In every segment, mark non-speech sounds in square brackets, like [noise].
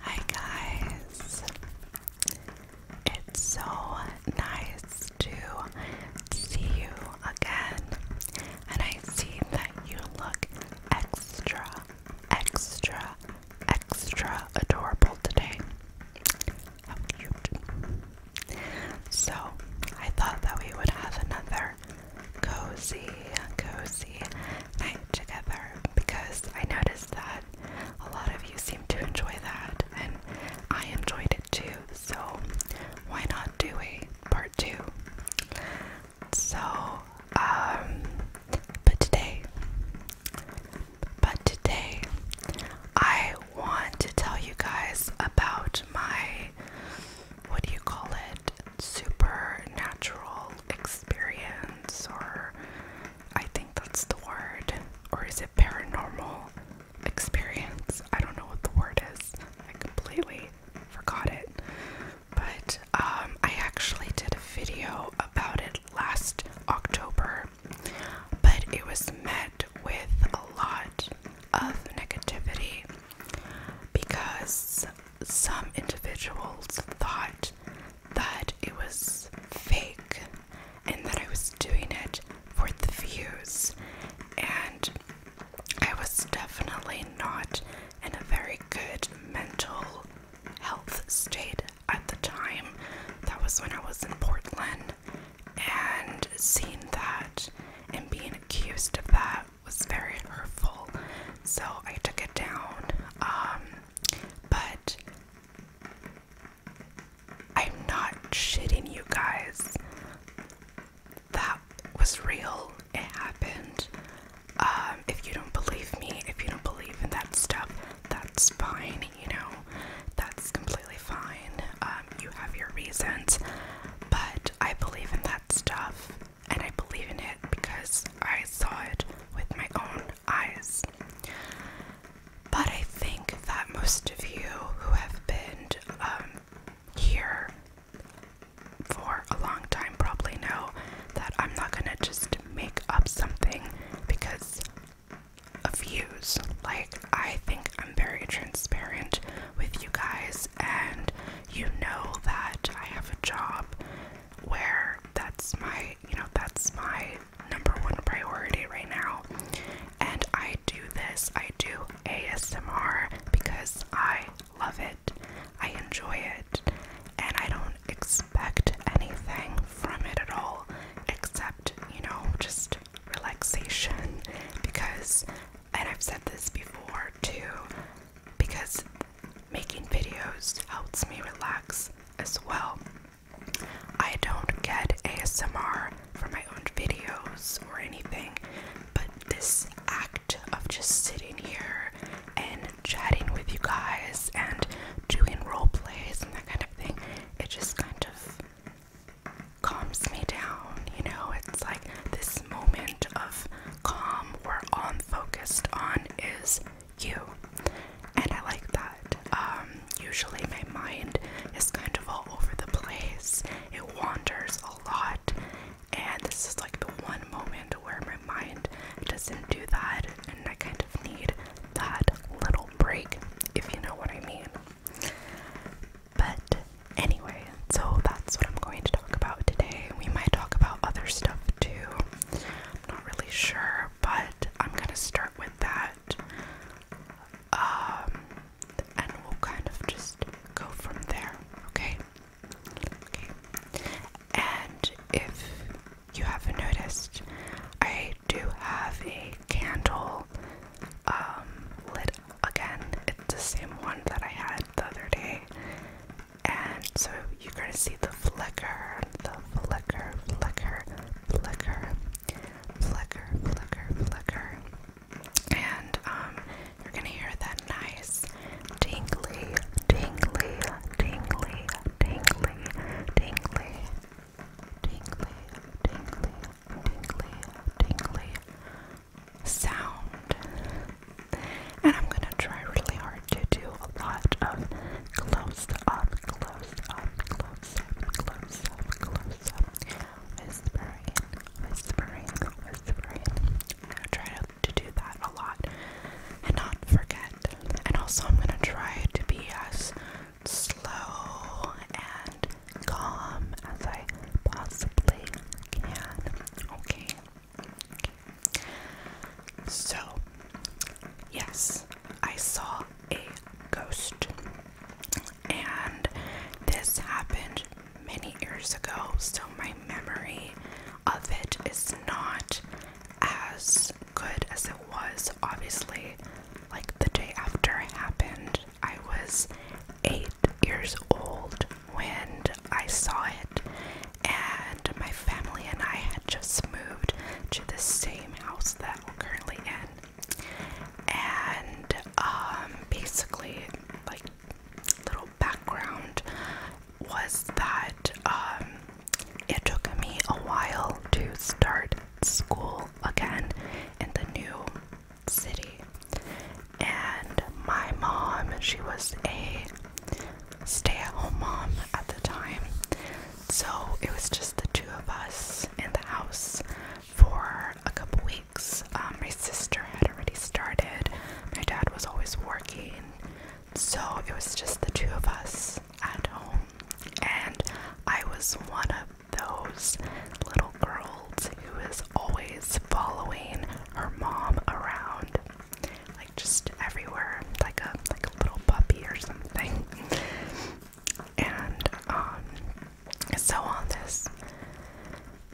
Hi guys! It's so nice to see you again, and I see that you look extra, extra, extra adorable today. So, I thought that we would have another cozy, cozy together because I noticed that a lot of you seem to enjoy that and I enjoyed it too. So why not do a part two? So, um, but today, but today, I want to tell you guys about my, what do you call it, supernatural experience or I think that's the word or is it paranormal experience? I don't know what the word is. I completely forgot it. But um I actually did a video about it last October, but it was met with a lot of negativity because some individuals thought that it was fake and that I was doing it for the views. And I was definitely not in a very good mental health state at the time. That was when I was in Portland. And seeing that and being accused of that was very hurtful. So I took it down. Um, but I'm not shitting you guys. That was real. It happened. Um, if you don't believe me, if you don't believe in that stuff, that's fine, you know. That's completely fine. Um, you have your reasons. But I believe in that stuff and I believe in it because I saw it with my own eyes. But I think that most of you who have been um, here for a long time probably know that I'm not gonna just make up something because of views. Like, I think I'm very transparent with you guys, and you know that I have a job where that's my you know, that's my number one priority right now. And I do this, I do ASMR because I love it, I enjoy it, and I don't expect anything from it at all except, you know, just relaxation because, and I've said this before too, because making videos helps me relax as well. I don't get ASMR from my own videos or anything, but this act of just sitting here and chatting with you guys and doing role plays and that kind of thing, it just kind of calms me down, you know? It's like this moment of calm we're on focused on is you. And I like that. Um, usually my mind is kind of all over the place, it wanders a lot. And this is like the one moment where my mind doesn't do that, and I kind of need that little break, if you know what I mean. But anyway, so that's what I'm going to talk about today. We might talk about other stuff to. I'm not really sure, but I'm gonna start with that. Um, and we'll kind of just go from there, okay? Okay. And if you haven't noticed, I do have a candle um, lit again. It's the same one that I had the other day and so you're gonna see the flicker, the flicker, flicker, flicker, flicker, flicker, flicker, and um, you're gonna hear that nice tingly, tingly, tingly, tingly, tingly, tingly, tingly, tingly, tingly sound and I'm gonna try really hard to do a lot of close up, close up, close up, close up, close up, whispering, whispering, whispering. I'm gonna try to do that a lot and not forget. And also, I'm gonna try to be as slow and calm as I possibly can. Okay. So, yes, I saw a ghost, and this happened many years ago, so my memory of it is not as good as it was. Obviously, like the day after it happened, I was eight years old when I saw it, and my family and I had just moved to the same house that we're currently in. And um, basically, like, little background was that um, it took me a while to start school again in the new city. And my mom, she was a stay at home mom at the time. So it was just the two of us in the house for a couple weeks. Um, my sister had already started, my dad was always working. So it was just the two of us at home. And I was one of those little girls who is always following her mom around like just everywhere, like a like a little puppy or something. And um, so on this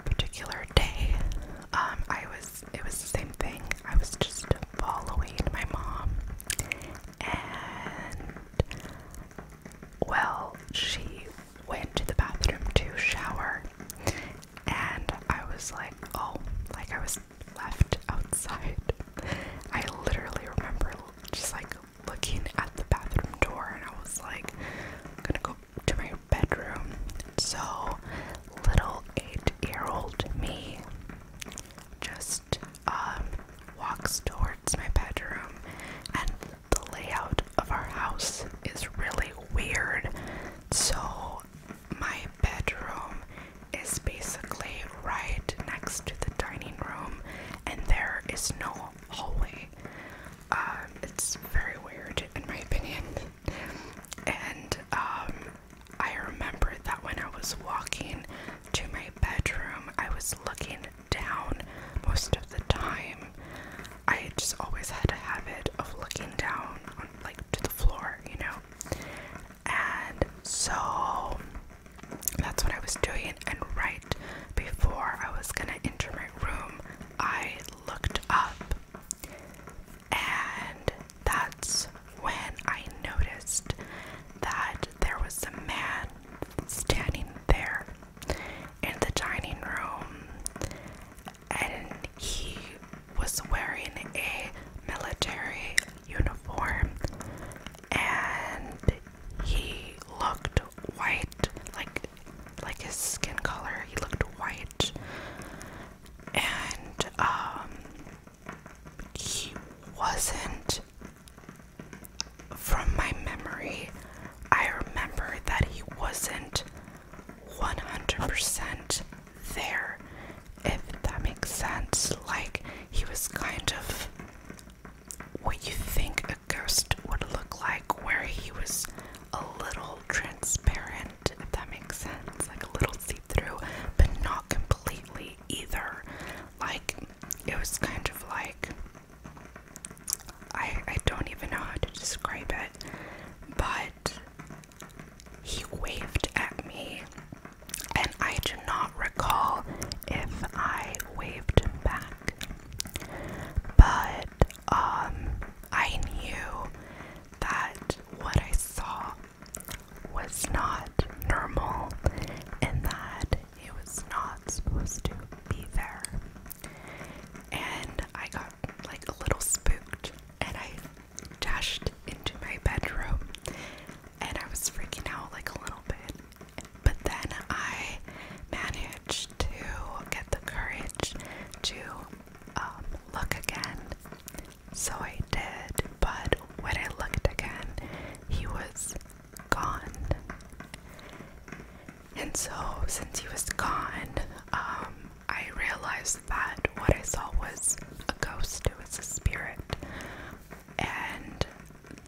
particular day, um, I was it was the same thing. I was just following my mom, and well, she went to the bathroom to shower, and I was like, oh, like I was left outside. I literally remember just like looking at the bathroom door and I was like, I'm gonna go to my bedroom. So little eight year old me just um, walks towards my bedroom and the layout of our house is really weird. So my bedroom is basically right next to the dining room, and there is no hallway. Um, it's very weird, in my [laughs] opinion. And um, I remember that when I was walking to my bedroom, I was looking down most of the time. I just always had a habit of looking down, on, like to the floor, you know and so that's what I was doing. And right before I was gonna enter my room, I looked up, and that's when I noticed that there was a man standing there in the dining room, and he was wearing a military uniform and he looked white like like his skin color he looked white and um he wasn't from my memory I remember that he wasn't 100% there, if that makes sense. Like, he was kind of what you think a ghost would look like, where he was a little transparent, if that makes sense. Like, a little see through, but not completely either. Like, it was kind of like. I, I don't even know how to describe it, but he waved at me, and I do not recall if I waved back. But um, I knew that what I saw was not normal and that it was not supposed to be there. And I got like a little spooked and I dashed into my bedroom and I was freaking out like a little bit. But then I managed to get the courage to um, look again. So I did, but when I looked again, he was gone. And so, since he was gone, um, I realized that what I saw was a ghost, it was a spirit. And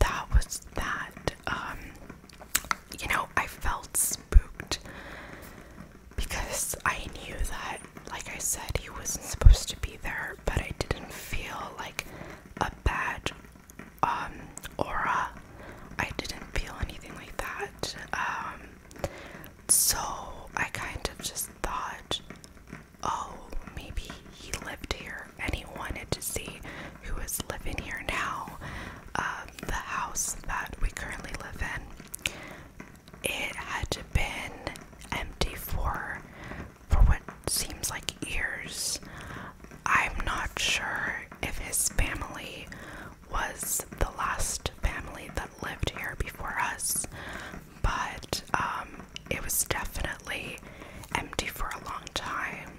that was that. Um, you know, I felt spooked because I knew that, like I said, he wasn't supposed to be there, but I didn't feel like a bad um, aura. I didn't feel anything like that. Um, so I kind of just thought, oh, maybe he lived here and he wanted to see who is living here now. Um, the house that we currently live in, it had been empty for for what seems like years. I'm not sure if his family was the last family that lived here before us but um, it was definitely empty for a long time.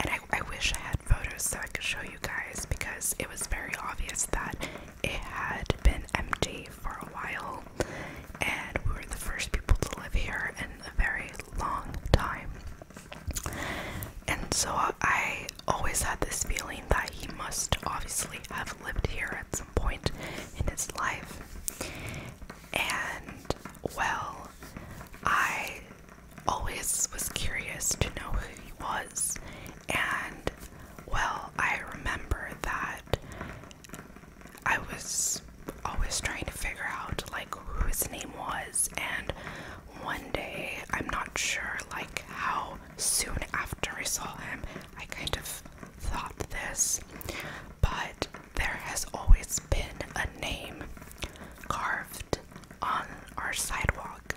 And I wish I had photos so I could show you guys because it was very obvious that it had been empty for a while. And we were the first people to live here in a very long time. And so I always had this feeling that he must obviously have lived here at some point in his life. And well, I always was curious to know who he was. And well, I remember that I was always trying to figure out like who his name was and one day, I'm not sure like how soon after I saw him, I kind of thought this, but there has always been a name carved on our sidewalk.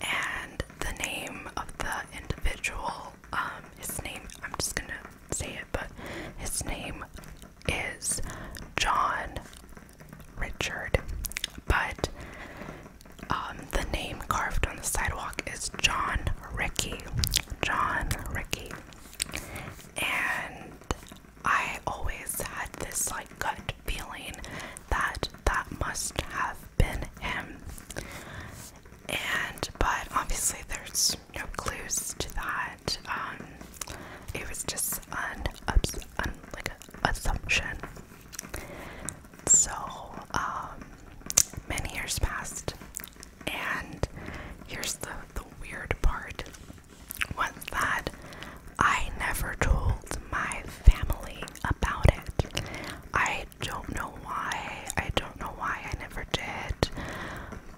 And the name of the individual, um, his name, I'm just gonna say it, but his name is John Richard. But um, the name carved on the sidewalk is John Ricky. John Ricky. And I always had this like gut feeling that that must have been him. And but obviously there's no clues to that. Um, it was just an, like an assumption. So, um, many years passed, and here's the, the weird part was that I never told my family about it. I don't know why, I don't know why I never did,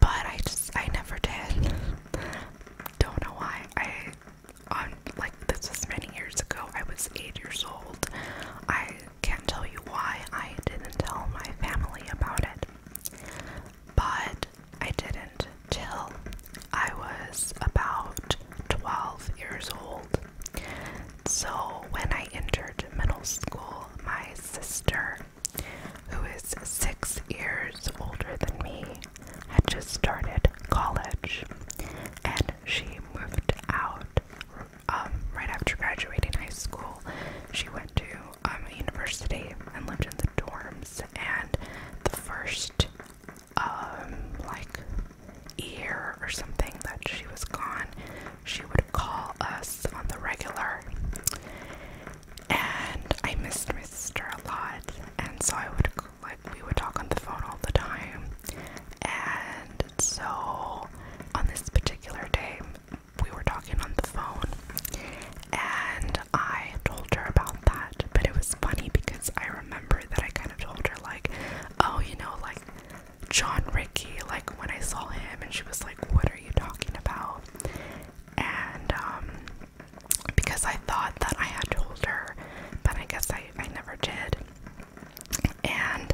but I just, I never did. don't know why. I, on, like, this was many years ago, I was eight years old. I can't tell you why I didn't tell my family about it. But I didn't till I was about 12 years old. So when I entered middle school, my sister, who is six years older than me, had just started college and she moved out um, right after graduating high school, she went to um, a university and lived in the dorms. And the first um, like year or something that she was gone, she would call us on the regular. And I missed my sister a lot, and so I would like we would talk on the phone all the time. And so on this particular day, we were talking on the phone and I told her about that. But it was funny because I remember that I kind of told her, like, oh, you know, like John Ricky, like when I saw him, and she was like, what are you talking about? And, um, because I thought that I had told her, but I guess I, I never did and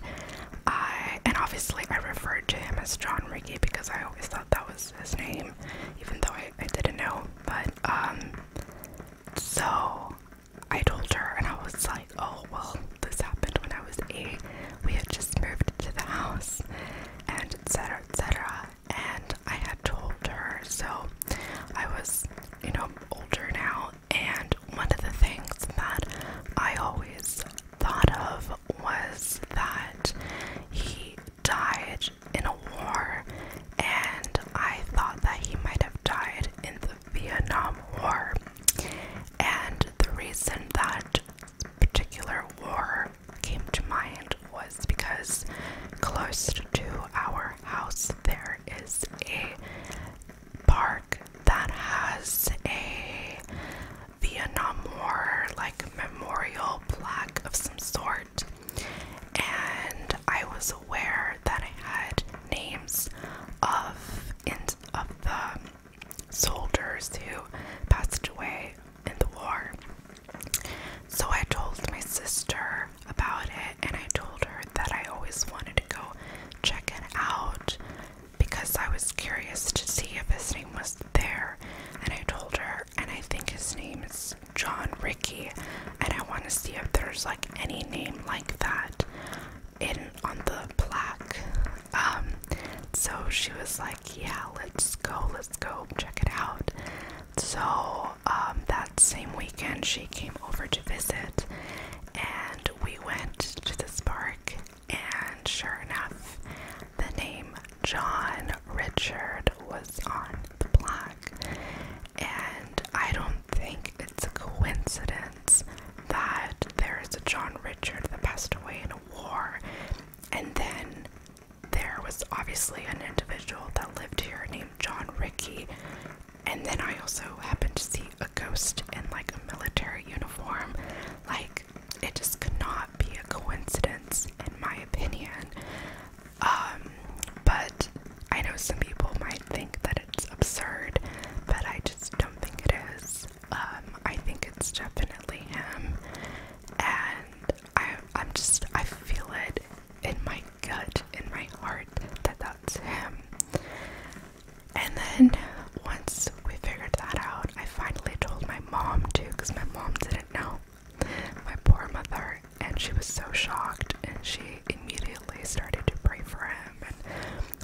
I and obviously I referred to him as John Ricky because I always thought that was his name, even though I, I didn't know. But um so I told her and I was like, Oh well this happened when I was eight. We had just moved to the house and etc etc and I had told her so I was, you know, older now and one of the things that I always thought of was that he died in a war, and I thought that he might have died in the Vietnam War. And the reason that particular war came to mind was because close to our house there is a park that has a Vietnam War like memorial plaque of some sort, and I was aware that I had names of of the soldiers who passed away in the war. So I told my sister about it, and I told her that I always wanted to go check it out because I was curious to see if his name was there, and I told her, and I think his name is John Ricky, and I want to see if there's like any name like that in on the plaque. Um, so she was like, "Yeah, let's go, let's go check it out." So um, that same weekend, she came over to visit, and we went to this park and sure enough, the name John Richard was on the block, And I don't think it's a coincidence that there is a John Richard that passed away in a war, and then there was obviously an individual that lived here named John Ricky. And then I also happened to see a ghost in like a military uniform. Like, it just could not be a coincidence, in my opinion. Um, but I know some people might think that it's absurd, but I just don't think it is. Um, I think it's definitely him, and I, I'm just, I feel it in my gut, in my heart, that that's him. And then once we figured that out, I finally told my mom too, because my mom didn't know. My poor mother, and she was so shocked, and she immediately started to pray for him and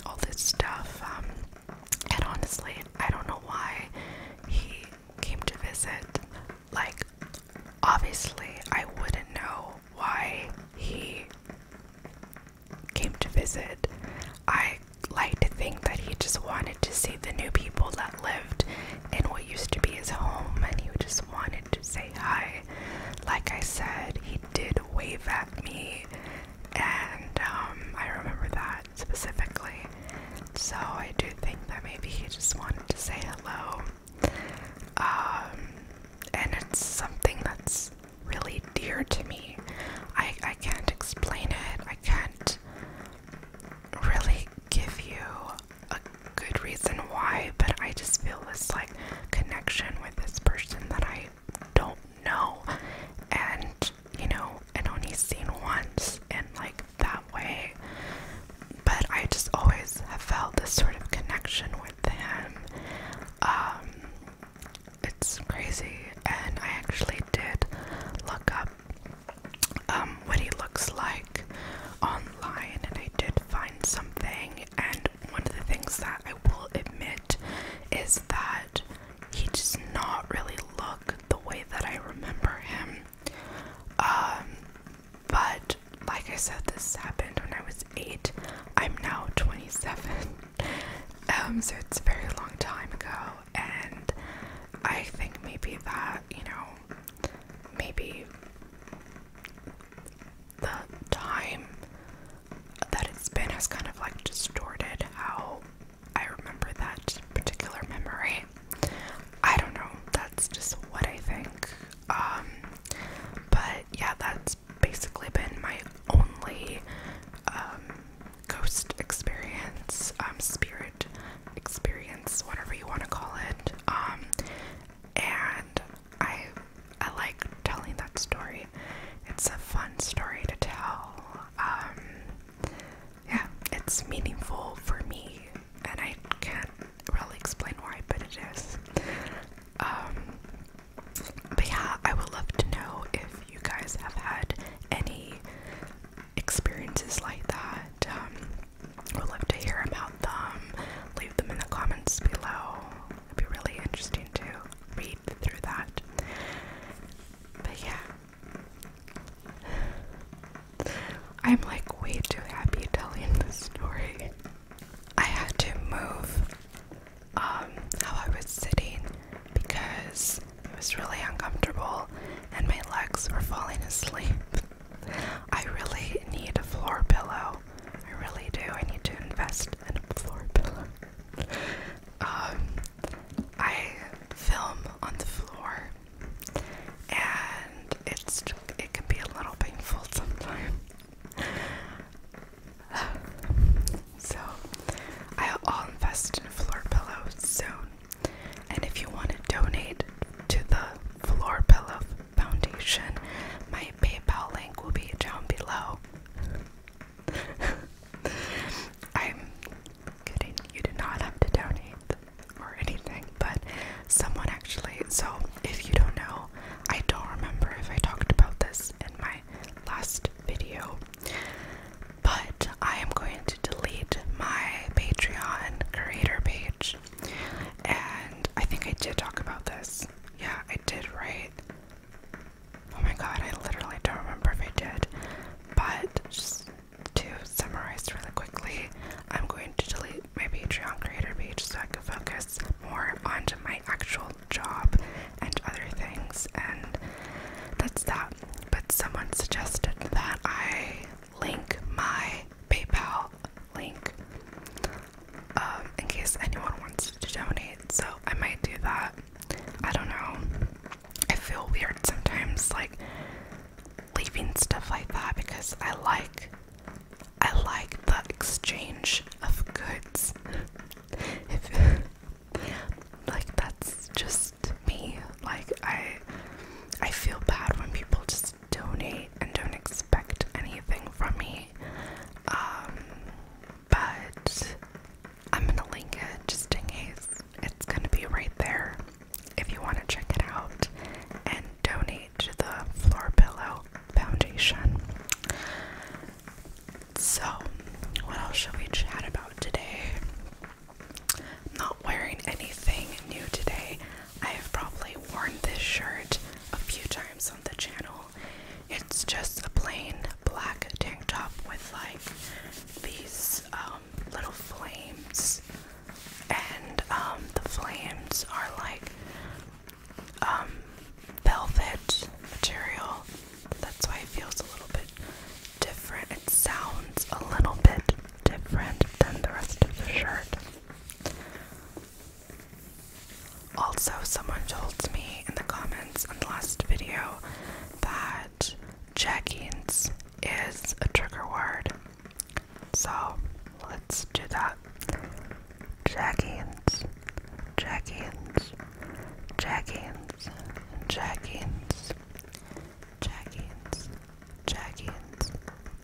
all this stuff. Um, and honestly, I don't know why he came to visit. Like, obviously, I wouldn't know why he came to visit, I like to think that he just wanted to see the new people that lived in what used to be his home and he just wanted to say hi. Like I said, he did wave at me, and um, I remember that specifically. So I do think that maybe he just wanted to say hello. Um, and it's something that's really dear to me. I, I can't explain it. I can't really give you a good reason why, but I just feel this like connection with this person that I don't know. And, you know, and only seen once in like that way. But I just always have felt this sort of connection with him. Um, it's crazy. And I actually did look up um, what he looks like online, and I did find something. And one of the things that I will admit is that he does not really look the way that I remember him. Um, but like I said, this happened when I was eight. I'm now 27. [laughs] Um, so it's a very long time ago, and I think maybe that, you know, maybe the time that it's been has kind of like distorted how I remember that particular memory. I don't know, that's just what I think. Um, but yeah, that's basically been my only um, ghost experience, um, spirit experience, whatever you want to call it. Um, and I I like telling that story. It's a fun story to tell. Um, yeah, it's meaningful for me, and I can't really explain why, but it is. But yeah, I would love to know if you guys have had any experiences like that. Um, would love to hear about them. Leave them in the comments below. It'd be really interesting to read through that. But yeah. I'm like way too happy telling this story. I had to move um, how I was sitting because it was really uncomfortable and my legs were falling asleep. [laughs] I really need a floor pillow. I really do. I need to invest in a floor pillow. [laughs] Um, I film on the floor, and it's it can be a little painful [laughs] sometimes. [sighs] so I'll invest in floor pillows soon. And if you want to donate to the Floor Pillow Foundation, my PayPal link will be down below. [laughs] I'm kidding, you do not have to donate or anything, but someone actually, so if you don't know, I don't remember if I talked about this in my last video, but I am going to delete my Patreon creator page. And I think I did talk about this. Yeah, I did, right? Oh my god, I literally don't remember if I did. But just to summarize really quickly, I'm going to delete my Patreon creator page so I can focus more onto my actual job and other things, and that's that. But someone suggested that I link my PayPal link um, in case anyone wants to donate, so I might do that. I don't know. I feel weird sometimes, like leaving stuff like that because I like. I like the exchange of goods. [laughs] if like that's just me. Like I I feel bad when people just donate and don't expect anything from me. Um but I'm gonna link it just in case. It's gonna be right there if you wanna check it out and donate to the Floor Pillow Foundation. So, what else should we chat about today? I'm not wearing anything new today. I have probably worn this shirt a few times on the channel. It's just a plain black tank top with like these um, little flames, and um, the flames are like um, velvet material that's why it feels a little bit different. It sounds a little bit different than the rest of the shirt. Also, someone told me in the comments in the last video that jeggings is a trigger word. So let's do that. Jeggings. Jeggings. Jackings, Jackings, Jackings, Jackings,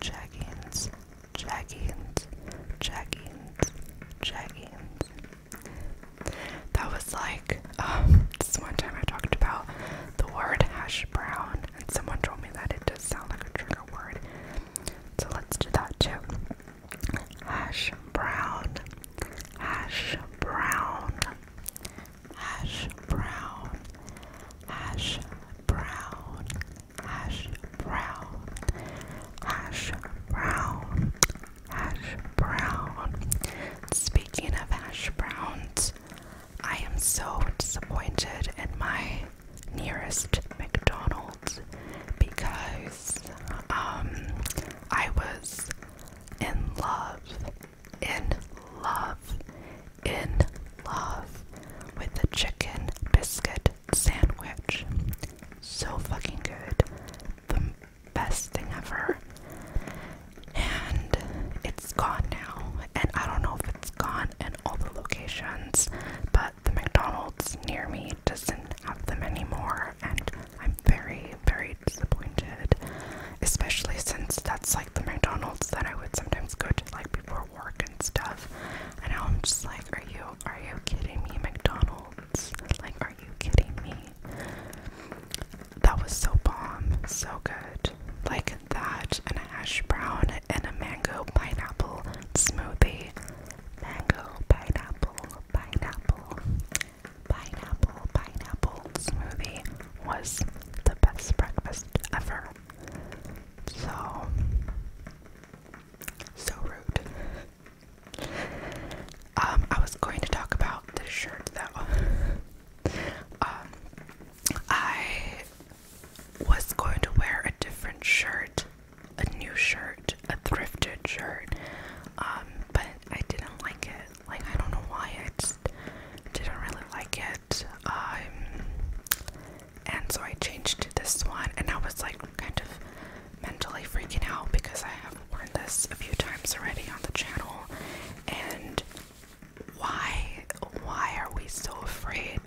Jackings, Jackings, Jackings, Jackings. That was like, um, this one time I talked about the word hash brown, and someone told me that it does sound like a trigger word. So let's do that too. Hash brown hash brown, hash brown, hash brown, hash brown, hash brown, hash brown. Speaking of hash browns, I am so disappointed at my nearest McDonald's because um I was in love, in love, in love with the chicken biscuit sandwich. So fucking good. The best thing ever. And it's gone now. And I don't know if it's gone in all the locations, but the McDonald's near me doesn't have them anymore and I'm very, very disappointed. Especially since that's like the McDonald's that I would sometimes go to, like before work and stuff. And I'm just like, are you, are you kidding me, McDonald's? Like, are you kidding me? That was so bomb, so good. Like that, and a hash brown, and a mango pineapple smoothie. Mango, pineapple, pineapple pineapple pineapple smoothie was the best breakfast ever. So so rude. Um, I was going to talk about this shirt though. um, I was going to wear a different shirt, a new shirt, a thrifted shirt, um, but I didn't like it. Like I don't know why I didn't really like it. Um, and so I changed to this one, and I was like kind of mentally freaking out because I have worn this a few times already on the channel, and why why are we so afraid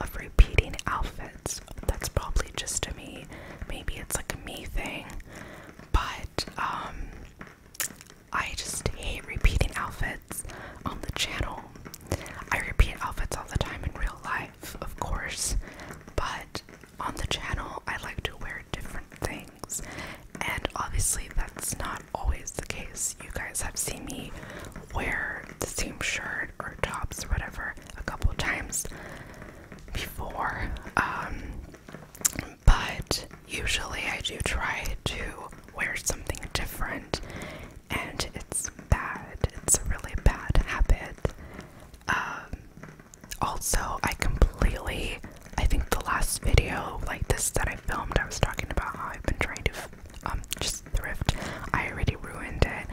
of repeating outfits? That's probably just to me. Maybe it's like a me thing, but um, I just hate repeating outfits on the channel. I repeat outfits all the time in real life, of course, but on the channel I like to wear different things, and obviously that's not always the case. You guys have seen me wear the same shirt or tops or whatever a couple times before. Um, but usually I do try to wear something different, and it's bad. It's a really bad habit. Um, also, I completely, I think the last video like this that I filmed, I was talking about how I've been trying to um, just thrift. I already ruined it.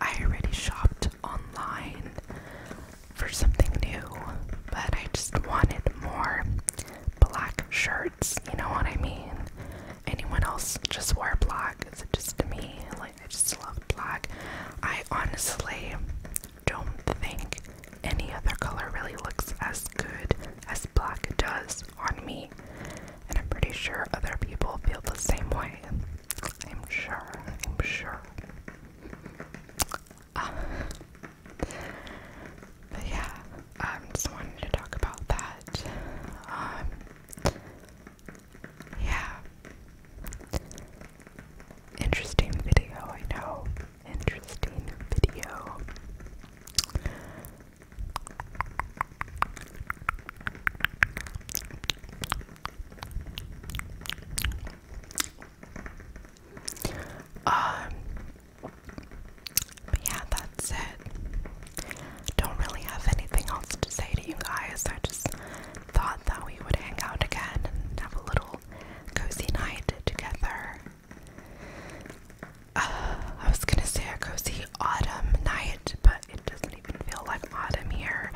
I already shopped online for something new, but I just wanted more black shirts, you know what I mean? Anyone else just wore black, is it just to me? Like, I just love black. I honestly don't think any other color really looks as good as black does on me, and I'm pretty sure other people feel the same way. I'm sure, I'm sure but yeah, I um, just wanted to talk about that. Um, yeah. Interesting video, I know. Interesting video. Um, but yeah, that's it. Don't really have anything else to say to you guys. I just thought that we would hang out again and have a little cozy night together. Uh, I was gonna say a cozy autumn night, but it doesn't even feel like autumn here.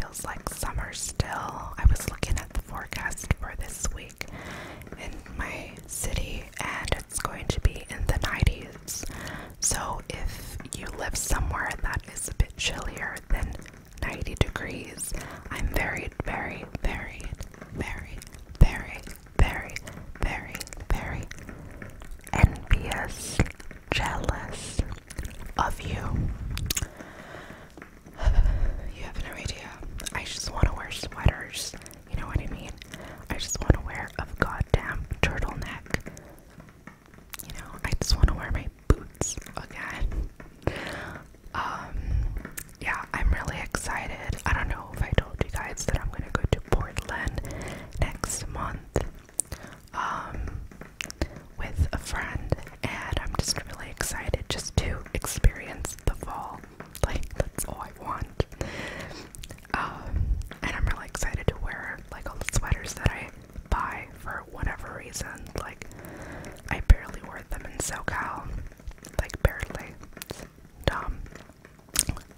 feels like summer still. I was looking looking at the forecast for this week in my city, and it's going to be in the 90s. So, if you live somewhere that is a bit chillier than 90 degrees, I'm very, very, very, very, very, very, very, very envious, jealous of you you have no idea. I just want to wear sweaters. You know what I mean? I just want to wear a goddamn turtleneck. You know, I just want to wear my boots again. Um, yeah, I'm really excited. I don't know if I told you guys that I'm gonna go to Portland next month. Um, with a friend, and I'm just really excited just to experience the fall. Like that's all I want. Um, and I'm really excited to wear like all the sweaters that I buy for whatever reason. Like I barely wore them in SoCal, like barely.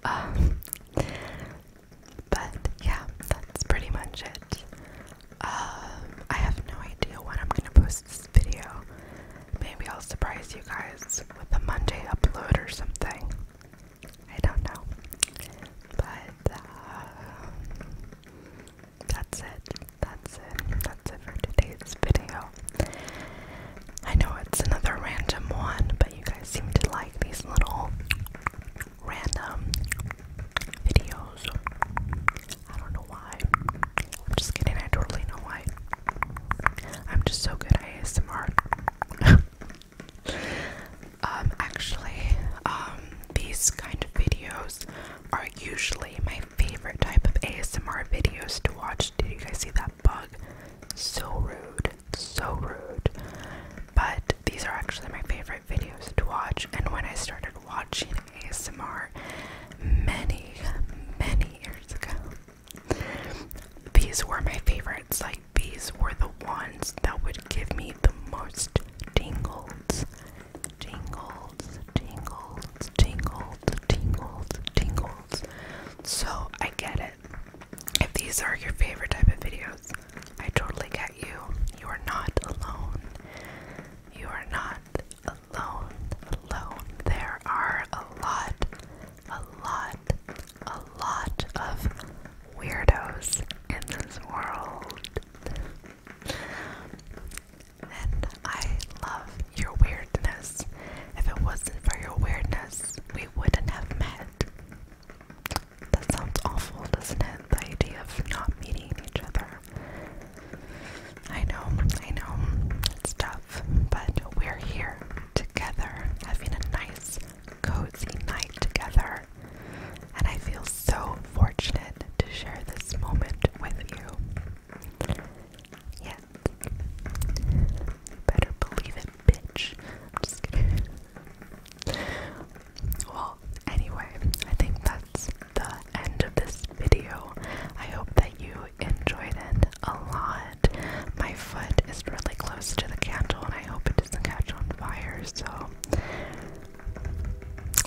Um, but yeah, that's pretty much it. Um, I have no idea when I'm gonna post this video. Maybe I'll surprise you guys with a Monday upload or something. I don't know. But, um, that's it. That's it. That's it for today's video. I know it's another random one, but you guys seem to like these little random videos. I don't know why. I'm just kidding, I totally know why. I'm just so good at ASMR. [laughs] um, actually, um, these kind of videos are usually my favorite type of ASMR videos to watch. Did you guys see that bug? So rude, so rude. But these are actually my favorite videos to watch, and when I started watching ASMR many, many years ago. These were my favorites. Like, these were the ones that would give me the most tingles. Tingles, tingles, tingles, tingles, tingles. So, I get it. If these are your favorite type of videos, I totally get you. You are not alone. You are not alone, alone. There are a lot, a lot, a lot of weirdos in this world. And I love your weirdness. If it wasn't for your weirdness, we wouldn't have met. That sounds awful, doesn't it? The idea of not meeting each other. I know, I know, it's tough, but we're here together, having a nice, cozy night together. And I feel so fortunate to share this moment with you. Yes. Better believe it, bitch. I'm just kidding. Well, anyway, I think that's the end of this video. I hope that you enjoyed it a lot. My foot is really close to the candle and I hope it doesn't catch on fire, so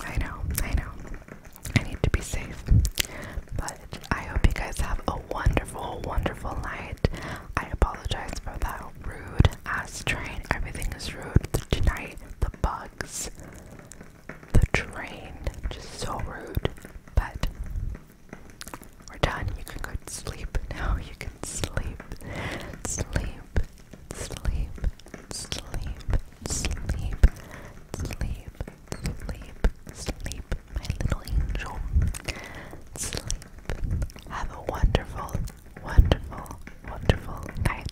I know, I know. I need to be safe. But I hope you guys have a wonderful, wonderful night. I apologize for that rude ass train. Everything is rude tonight. The bugs the train. Just so rude. But we're done. You can go to sleep now. [laughs] You can sleep. Sleep. Sleep. Sleep. Sleep. Sleep. Sleep. Sleep. My little angel. Sleep. Have a wonderful, wonderful, wonderful night.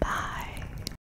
Bye.